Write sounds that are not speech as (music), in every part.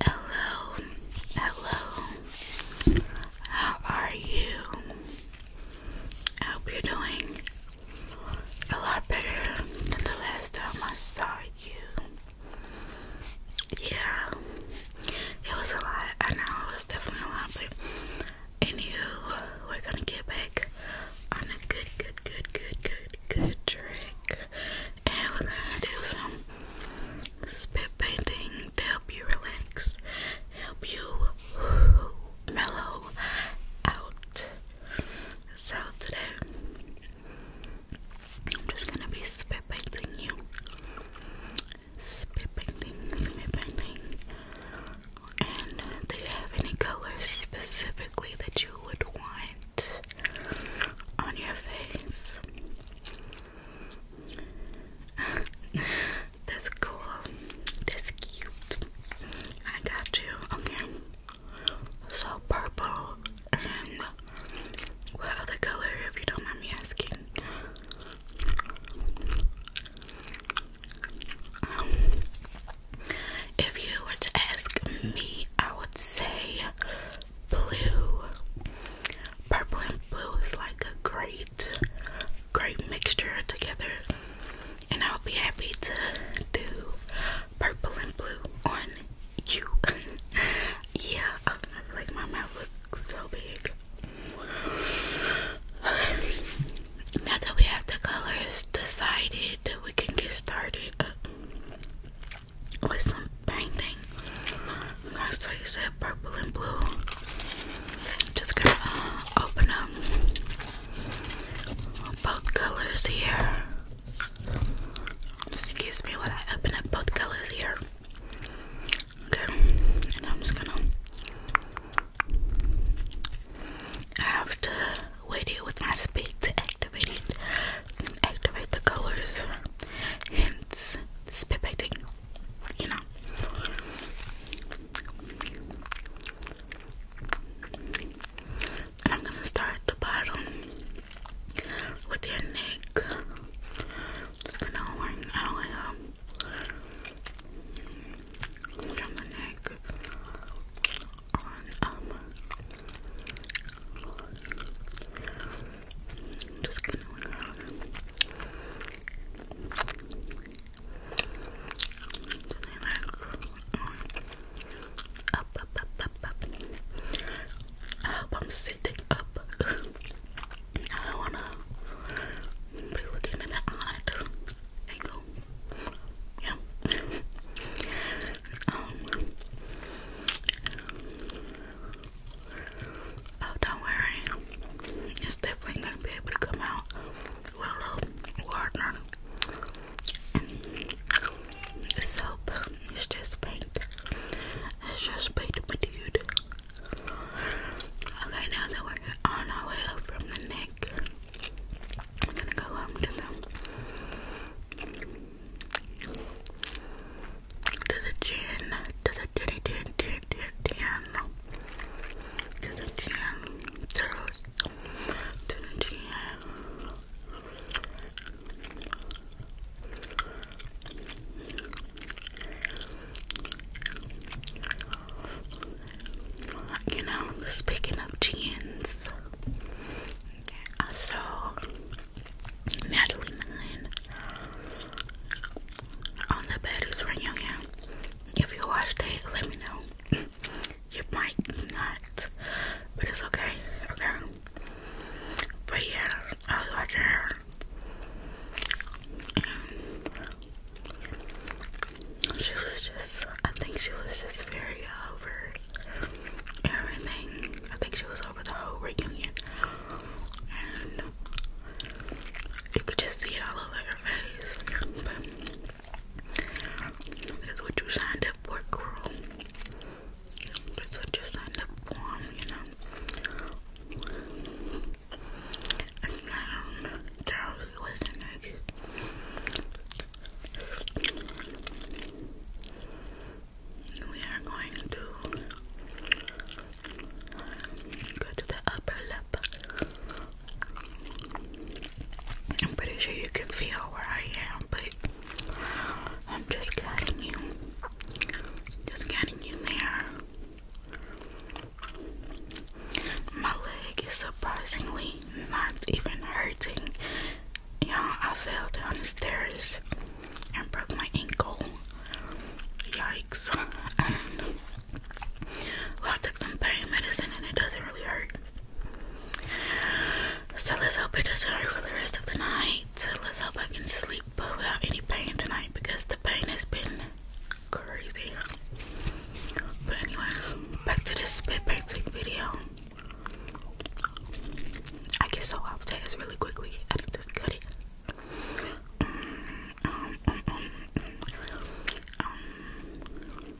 Hello, hello. How are you? I hope you doing a lot better than the last time I saw you. Yeah, it was a lot. I know it was definitely a lot, but anywho, we're gonna get back on a good, good, good, good, good, good track and we're gonna do some spit painting to help you relax, help you (sighs) mellow out. So today I'm just gonna be spit painting you. Spit painting, spit painting. And do you have any colors specifically that you would want? on your face. (laughs) That's cool. That's cute. I got you. Okay. So purple what other color if you don't mind me asking? Um, if you were to ask me, I would say blue. Purple and blue is like a great, great mixture together. And I'll be happy to do purple and blue on you. (laughs) yeah, oh, like my mouth looks so big. Now that we have the colors decided, we can get started with some painting. I'm you said purple and blue. Just gonna uh, open them. both colors here. Excuse me while I open up both colors here. Okay, and I'm just gonna. have to video with my spade to activate it and activate the colors. Hence spit painting, you know. I'm gonna start the bottom with your neck. Just gonna work out um, from the neck just gonna I am sitting up. (laughs) be looking in the angle. Yeah. um. Oh, don't worry. It's definitely gonna be able to come out with a little water and soap. It's just paint. It's just paint, my dude. Okay, now that we're on our way up from the neck. I'm gonna go home to them. To the chin, to the titty, chin, chin, chin, chin. To the chin, to the, to you know, speaking of chins, I saw Natalie Nunn on the Baddies Radio. If you watched it, let me know. You might not, but it's okay, okay. But yeah, I was watching um, she was just, I think she was just very over everything. I think she was over the whole reunion. And you could just see it all over her face. that's what you signed up for, girl. That's what you signed up for, you know. And um, Charles was the next. We are going to go to the upper lip. I'm pretty sure you can feel where I am, but I'm just getting you, just getting you there. My leg is surprisingly not even hurting. you Yeah, I fell down the stairs and broke my ankle. Yikes. And (laughs) well, I took some pain medicine and it doesn't really hurt. So let's hope it doesn't hurt for the rest of the night. Let's hope I can sleep without any pain tonight because the pain has been crazy. But anyway, back to this spit painting video. I get so off task really quickly. I need to cut it. Um, um, uh, um, um, um.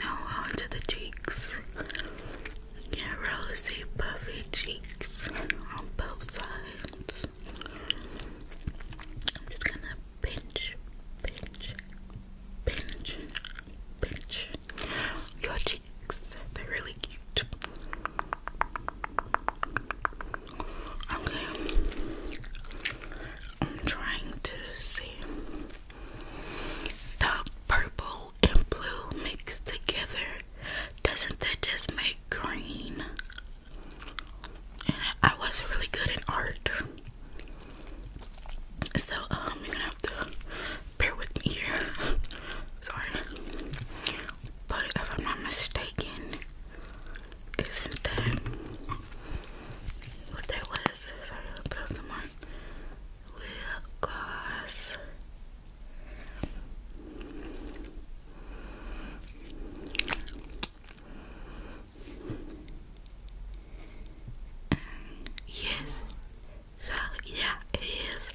Now onto the cheeks. Get rosy, puffy cheeks on both sides. I'm just gonna pinch, pinch, pinch, pinch your cheeks. They're really cute. I'm trying to see the purple and blue mixed together. Doesn't that just make green? and I wasn't really good in art. So, um, you're gonna have to bear with me here. (laughs) Sorry. But if I'm not mistaken, isn't that what that was? Sorry, i put some more lip gloss yes, so yeah, it is.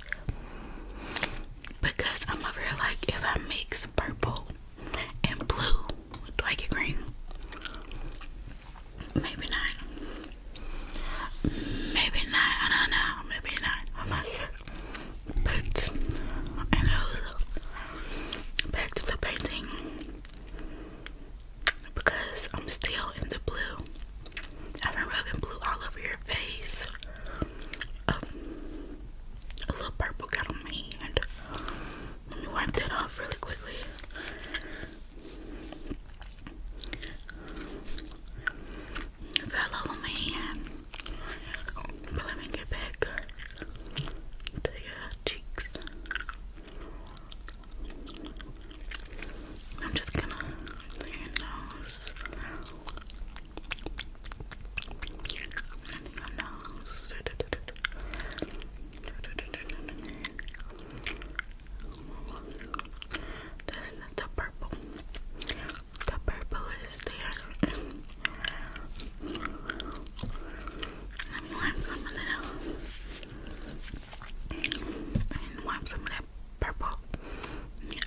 Because I'm over like, if I mix purple and blue, do I get green? Maybe not. Maybe not. I don't know. Maybe not. I'm not sure. But and also back to the painting because I'm still in the blue. I've been rubbing blue all over your face. Um, a little purple got on my hand. Let me wipe that off really quickly fell over my hand. Let me get back to your cheeks. I'm just gonna your nose. Your nose. This is the purple the purple is there. And me wipe some of that and wipe some of that purple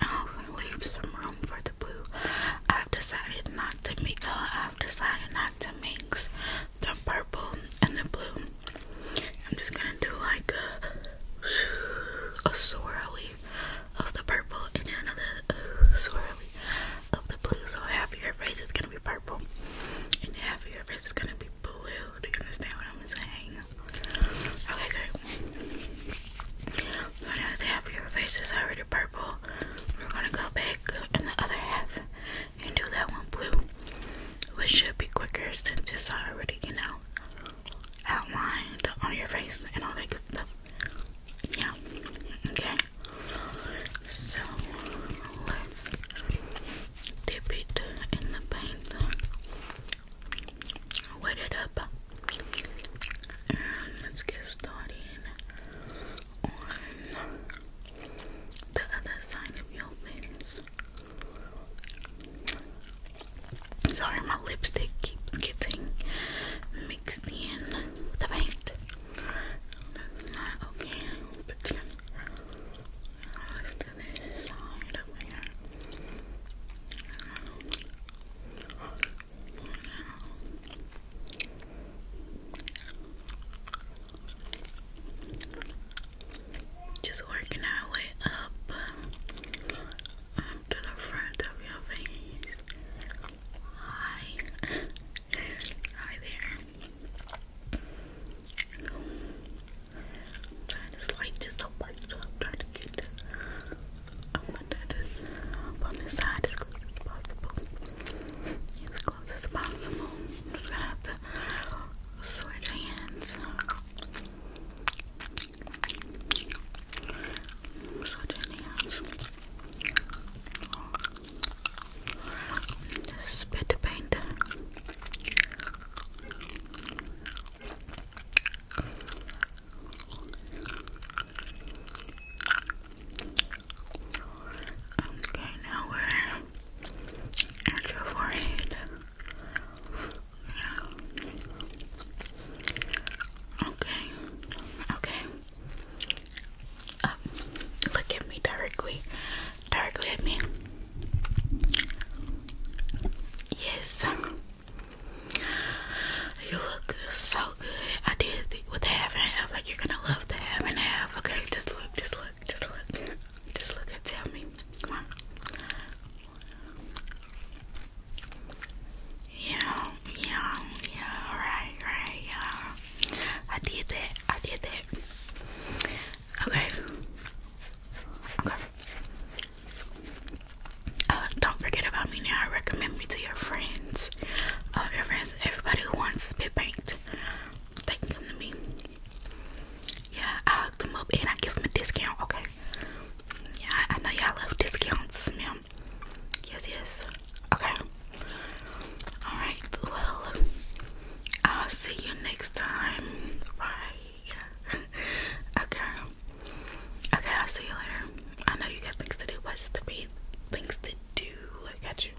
off leave some room for the blue. I've decided not to mix. I've decided not to mix the purple and the blue. I'm just gonna do like a, a swirly of the purple and then another uh, swirly of the blue. So half of your face is gonna be purple and half of your face is gonna be blue. Do you understand what I'm saying? Okay, good. So now that half of your face is already purple, we're gonna go back in the other half and do that one blue. Which should be quicker since it's already, you know, outlined on your face and all that good stuff. Yeah. Okay. So let's dip it in the paint, wet it up, and let's get started on the other side of your face. Sorry, my lipstick keeps getting mixed in with the paint. That's not okay. let's do this side over here. Just working our way up um, to the front of your face. Hi. Hi there. That is just a white job. Trying to get up under this, up on this side as close as possible. As close as possible. just gonna switch hands. Such an ass. spit paint. Okay, now we're at your forehead. Okay. Okay. Uh, look at me directly. Directly at me. Yes. You look so good. I did with the half and half. Like you're gonna love the half and half. Okay, just look, just look look, just look, just look and tell me. Come on. Yeah, yeah, yeah, right, right, yeah. I did that, I did that. Okay. Okay. Uh, don't forget about me now. recommend me to your friends. All uh, your friends, everybody who wants to be banked, they can come to me. Yeah, I hook them up and I give them a discount, okay? Yeah, I, know y'all love discounts, ma'am. Yes, yes. Okay. Alright, well, I'll see you next time. Right. (laughs) okay. Okay, I'll see you later. I know you got things to do, but it's things to do. I got you.